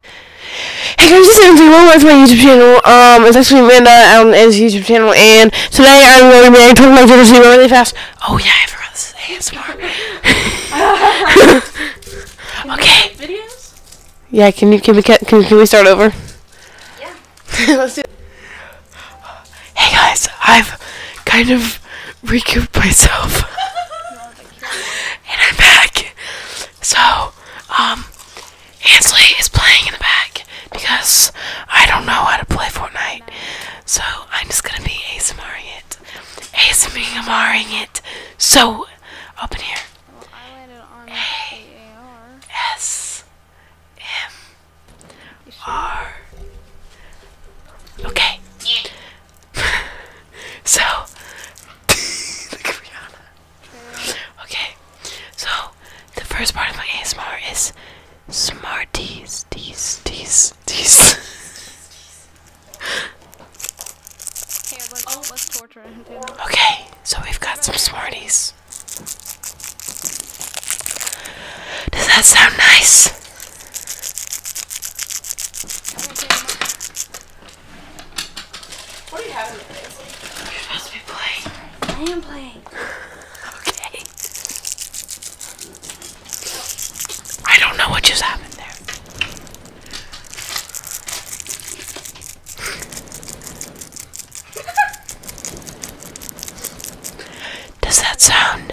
Hey guys, this is MZ, welcome to my YouTube channel, um, it's actually Amanda on um, YouTube channel, and today I'm going to be talking about Jenna's really fast. Oh yeah, I forgot this is ASMR. okay. Yeah, can you, can we, can, we start over? Yeah. Let's do Hey guys, I've kind of recouped myself. and I'm back. So, um, Ansley is playing in the back because I don't know how to play Fortnite. So, I'm just gonna be ASMRing it. ASMRing it. So, up in here. Well, Okay. so, Okay, so the first part of my ASMR is Smarties, these, these, these. Okay, so we've got some Smarties. Does that sound nice? What are you having today? You're supposed to be playing. I am playing. okay. I don't know what just happened there. Does that sound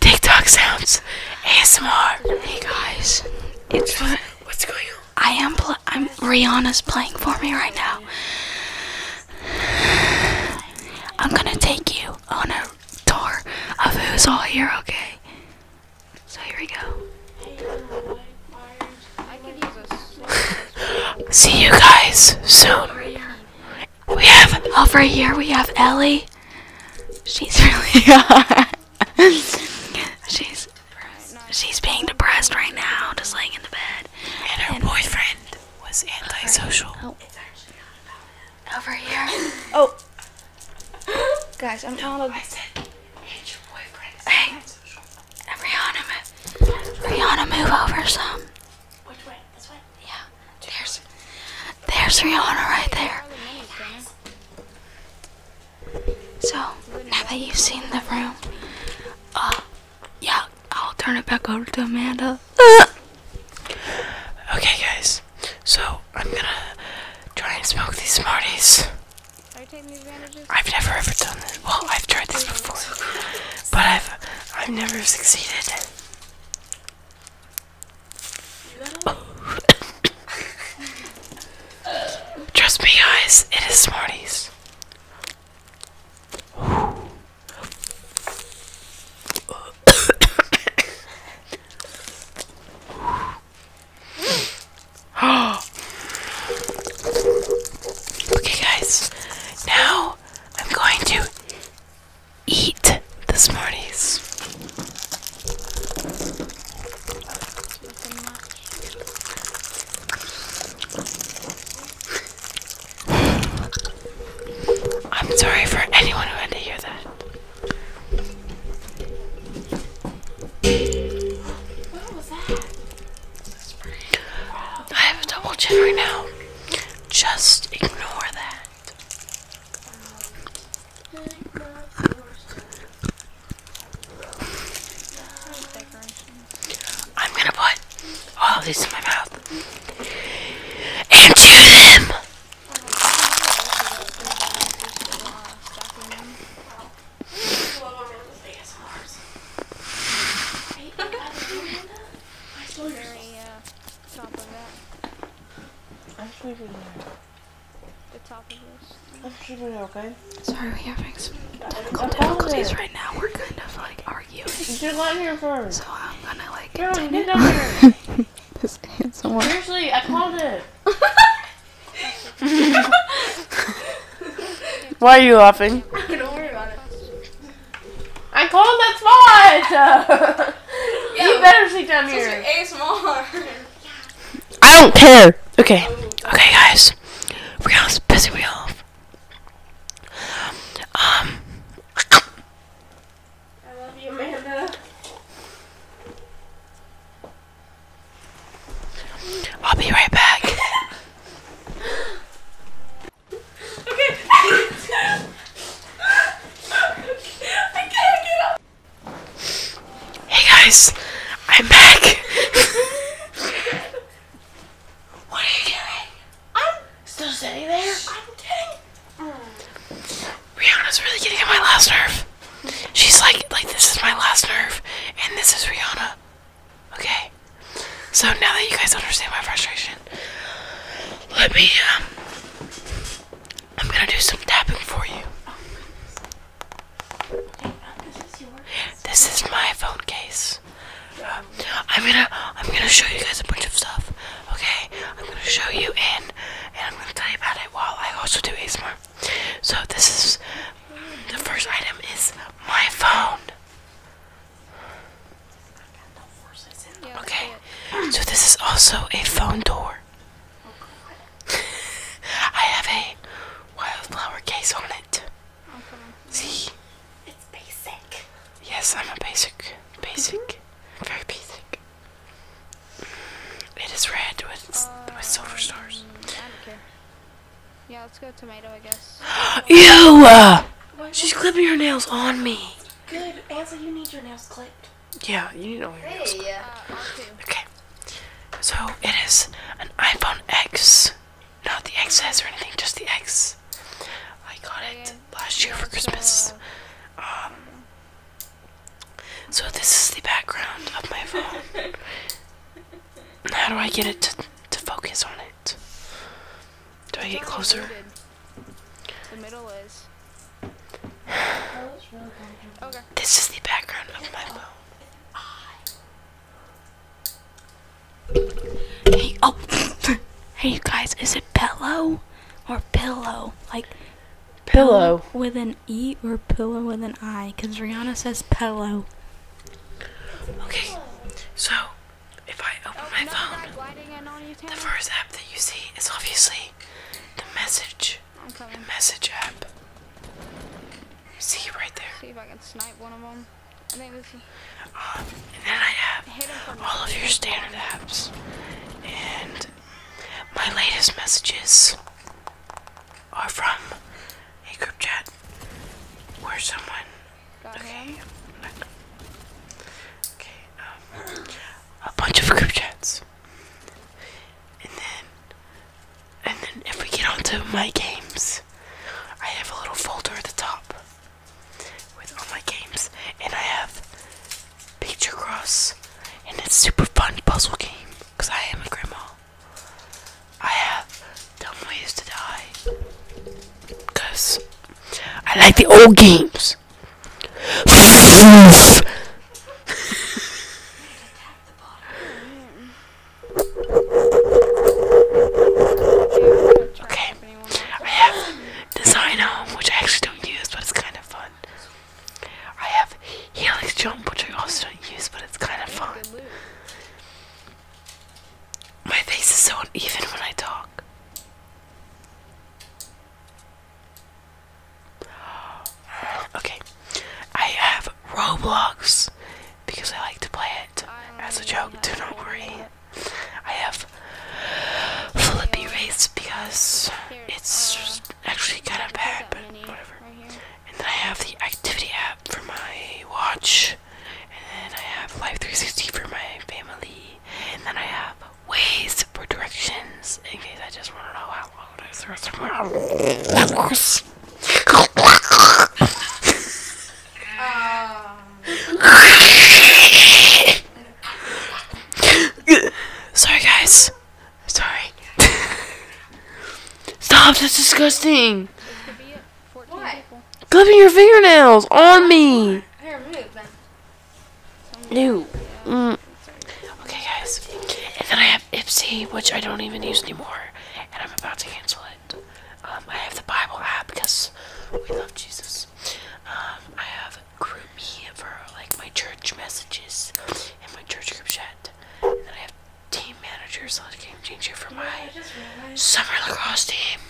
TikTok sounds ASMR. Hey guys, it's what's, what's going on? I am. I'm Rihanna's playing for me right now. I'm gonna take you on a tour of who's all here. Okay. So here we go. Uh, See you guys soon we have over here we have Ellie. She's really she's she's being depressed right now, just laying in the bed. And her boyfriend was antisocial. Oh, over here. oh. Guys, I'm telling. all I said, it's your boyfriend. Hey, Rihanna, Rihanna, move over some. Which way? This way? Yeah. There's, there's Rihanna right there. So now that you've seen the room, uh, yeah, I'll turn it back over to Amanda. okay, guys. So I'm gonna try and smoke these Smarties. I've never ever done this. Well, I've tried this before, but I've I've never succeeded. Trust me, guys, it is Smarties. okay, guys, now I'm going to eat the smarties. I'm sorry for anyone who had to hear that? I have a double chin right now. Just ignore that. I'm gonna put all these in my mouth and chew them. I saw your very, uh, top that. I'm sleeping there. The top of this. I'm sleeping there, okay? Sorry, we are having some technical difficulties right now. We're kind of like arguing. Get out here first. So I'm gonna like. No, get out here. this handsome one. Seriously, I called it. Why are you laughing? Don't worry about it. I called that spot. you better sit down here. ASMR. I don't care. Okay. Okay, guys. We're Rihanna's pissing me off. Um. I love you, Amanda. I'll be right back. Okay. Hey guys, I'm back. what are you doing? I'm still sitting there. I'm kidding. Rihanna's really getting at my last nerve. She's like, like this is my last nerve, and this is Rihanna. Okay. So now that you guys understand my frustration, let me. Um, I'm gonna do some tapping for you. this, is my phone case. Um, I'm gonna I'm gonna show you guys a bunch of stuff. Okay, I'm gonna show you and and I'm gonna tell you about it while I also do ASMR. So this is the first item is my phone okay, so this is also a phone door. I have a wildflower case on it. See? It's basic. Yes, I'm a basic. Basic. Mm-hmm. Very basic. It is red with, with silver stars. Mm, yeah, let's go tomato, I guess. Ew! Uh, she's clipping her nails on me. Good. Ansel, you need your nails clipped. Yeah, you need all your nails clipped. Yeah, uh, okay. So, it is an iPhone X. Not the XS or anything, just the X. I got oh, it last year for uh, Christmas. um, so this is the background of my phone. How do I get it to, to focus on it? Do I get closer? The middle is. This is the background of my phone. Hey, oh, hey you guys, is it pillow or pillow? Like pillow with an E or pillow with an I? Because Rihanna says pillow. Okay, so if I open my phone, the first app that you see is obviously the message. The message app. See right there. See if I can snipe one of them. Um, then I have all of your standard apps and my latest messages are from a group chat where someone. okay. Okay. Um, a bunch of group chats, and then, and then if we get onto my games, I have a little folder at the top with all my games, and I have Picture Cross, and it's super fun puzzle game because I am a grandma. I have Dumb Ways to Die. I like the old games. okay. I have Design Home, which I actually don't use, but it's kind of fun. I have Helix jump, which I also don't use, but it's kind of fun. My face is so uneven when I talk. Okay, I have Roblox because I like to play it as a joke, do not worry. I have Flippy Race because it's actually kind of bad, but whatever. And then I have the activity app for my watch, and then I have Life 360 for my family, and then I have Ways for directions in case I just want to know how long it is or somewhere. Um. Sorry, guys. Sorry. Stop, that's disgusting. Clipping your fingernails on me. New. Mm. Okay, guys. And then I have Ipsy, which I don't even use anymore. And I'm about to cancel it. Um, I have the Bible app because we love Jesus. Um, I have Groupie for like my church messages and my church group chat. And then I have team manager slash game changer for you know, my summer lacrosse team.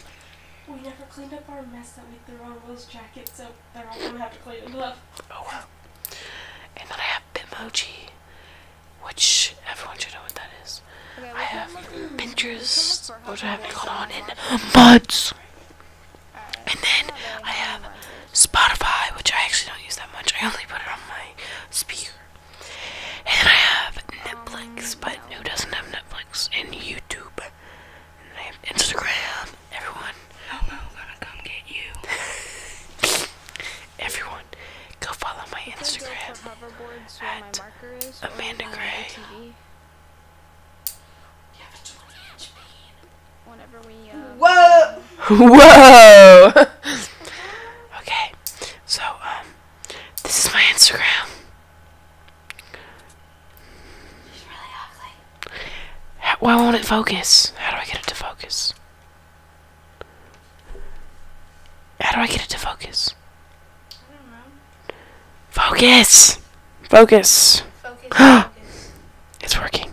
We never cleaned up our mess that we threw on Will's jacket, so they're all gonna have to clean it up. Oh wow. And then I have Bitmoji, which everyone should know what that is. I have Pinterest, What's happening on in months. And then I have Spotify, which I actually don't use that much. I only put it on my speaker. And I have Netflix, but who doesn't have Netflix? And YouTube. And I have Instagram. Everyone. Elmo's gonna come get you. Everyone, go follow my Instagram at Amanda Gray whenever we. Um, Whoa! Whoa! okay, so um, this is my Instagram. why won't it focus? How do I get it to focus? How do I get it to focus? I don't know. Focus! Focus. focus. it's working.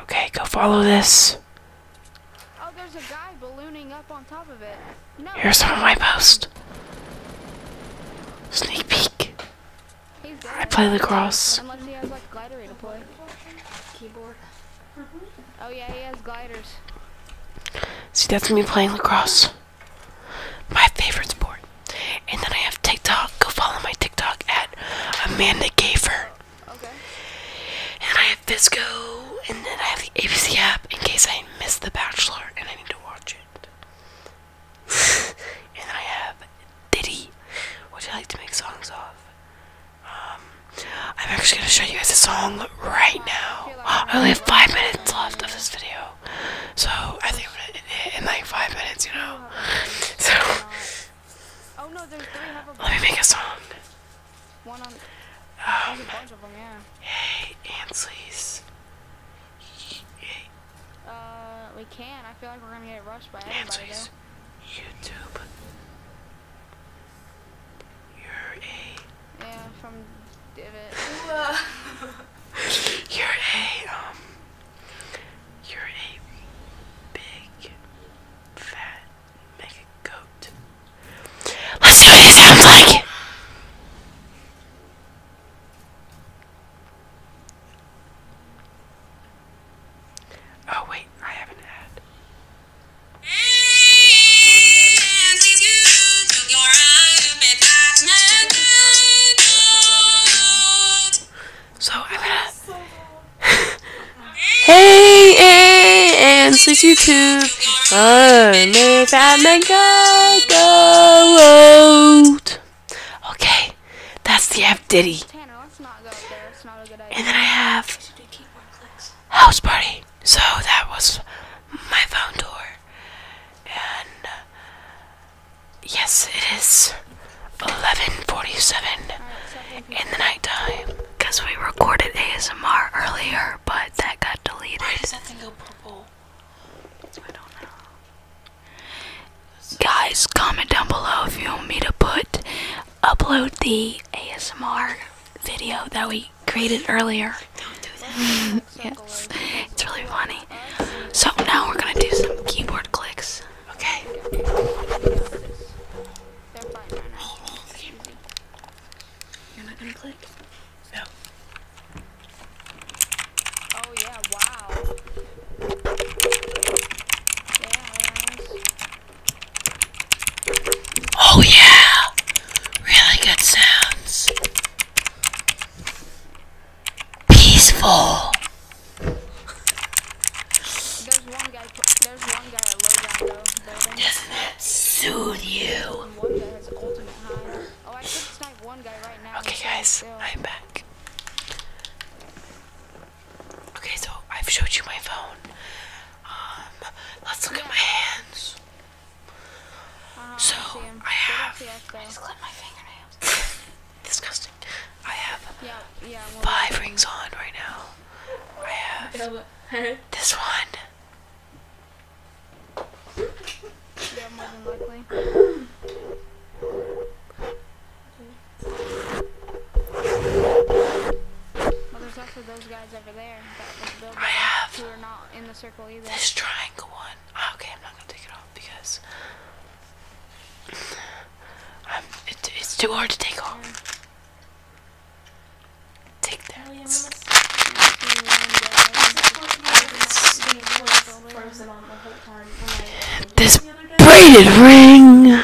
Okay, go follow this. Oh, Here's some of my post. Sneak peek. I play lacrosse. Oh, See, that's me playing lacrosse. My favorite sport. And then I have TikTok. Go follow my TikTok at Amanda Gafer. Okay. And I have Visco, and then I have the ABC app in case I miss The Bachelor and I need to watch it. and I have Diddy, which you like to make songs of. Um, I'm actually going to show you guys a song right now. Ah, I only have five minutes left of this video, so I think in like five minutes, you know? So. Oh no, there's three. Have a Let me make a song. One on. Oh. Hey, Ansleys. Uh, we can. I feel like we're gonna get rushed by everybody. Ansleys. YouTube. You're a. Yeah, from Divot. Uh. You're a um. You're a big fat mega goat. Let's see what it sounds like. Oh wait, I have an ad. So I'm gonna. hey, hey, and since YouTube, I'm a Batman goat. Okay, that's the F Diddy. And then I have house party. So that was my phone tour, uh, Yes, it is 11:47 in the nighttime. Because we recorded ASMR earlier, but that got deleted. Why does that thing go purple? I don't know. Guys, comment down below if you want me to put upload the ASMR video that we created earlier. Don't do that. yes, it's really funny. So now we're gonna do some keyboard clicks. Okay. You're not gonna click? No. Oh yeah, oh, Really good sounds. Peaceful. There's one guy. There's one guy at low down though. Doesn't that soothe you? Oh, okay, guys, I'm back. Okay, so I've showed you my phone. Um, let's look at my hands. Uh -huh, so I, I have. I just clipped my fingernails disgusting. I have five rings on right now. I have this one. Yeah, more than likely. Well, there's also those guys over there that was built who are not in the circle either. This triangle one. Ah, okay, I'm not gonna take it off because I'm, it's too hard to take off. Take that. this braided ring.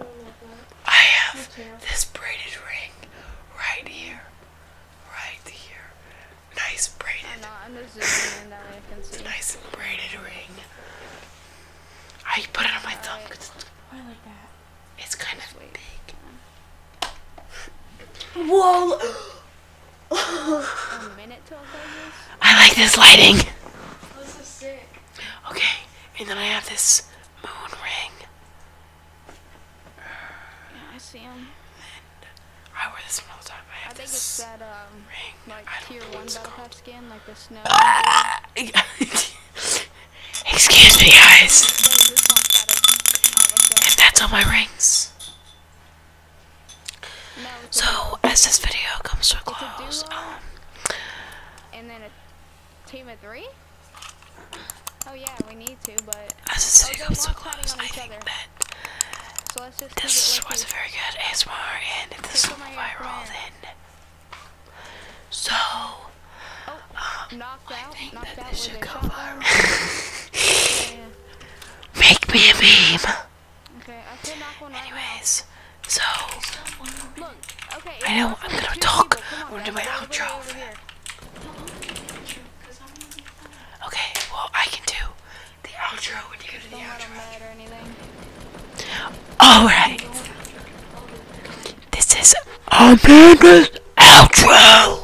Oh, I have this braided ring right here, right here, Nice braided. I'm Nice braided ring. I ah, put it on my thumb I like that. it's kind of big. Whoa! I like this lighting. Oh, this is sick. Okay, and then I have this moon ring. Yeah, I see him. I wear this one all the time. I, I think it's that um, ring. like tier one battle pass skin, like the snow. Excuse me, guys. And that's all my rings. so as this video comes to a close, um, and then a team of three. Oh yeah, we need to, but as a city oh, so close, I think other. that so let's just this was a very good ASMR, and okay, this so will viral then. So, oh, um, I out, think that this should go viral. yeah. Make me a meme. Okay, I could knock one Anyways, right so, Look, okay, I know I'm gonna talk. I'm gonna do my outro. Okay, well I can do the outro when you go to the outro. Alright. This is Amanda's outro.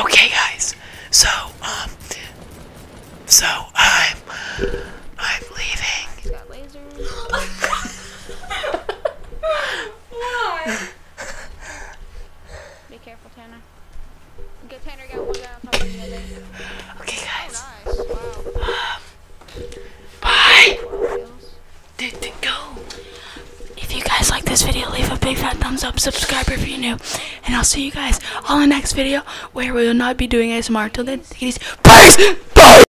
Okay guys. So um so I'm I'm leaving. Why? Be careful, Tanner. Good, Tanner, got one down on the other. Okay, guys. nice. wow. bye. Dude, dude, go. If you guys like this video, leave a big fat thumbs up, subscribe if you're new, and I'll see you guys on the next video where we will not be doing ASMR. Till then, take Peace! Bye!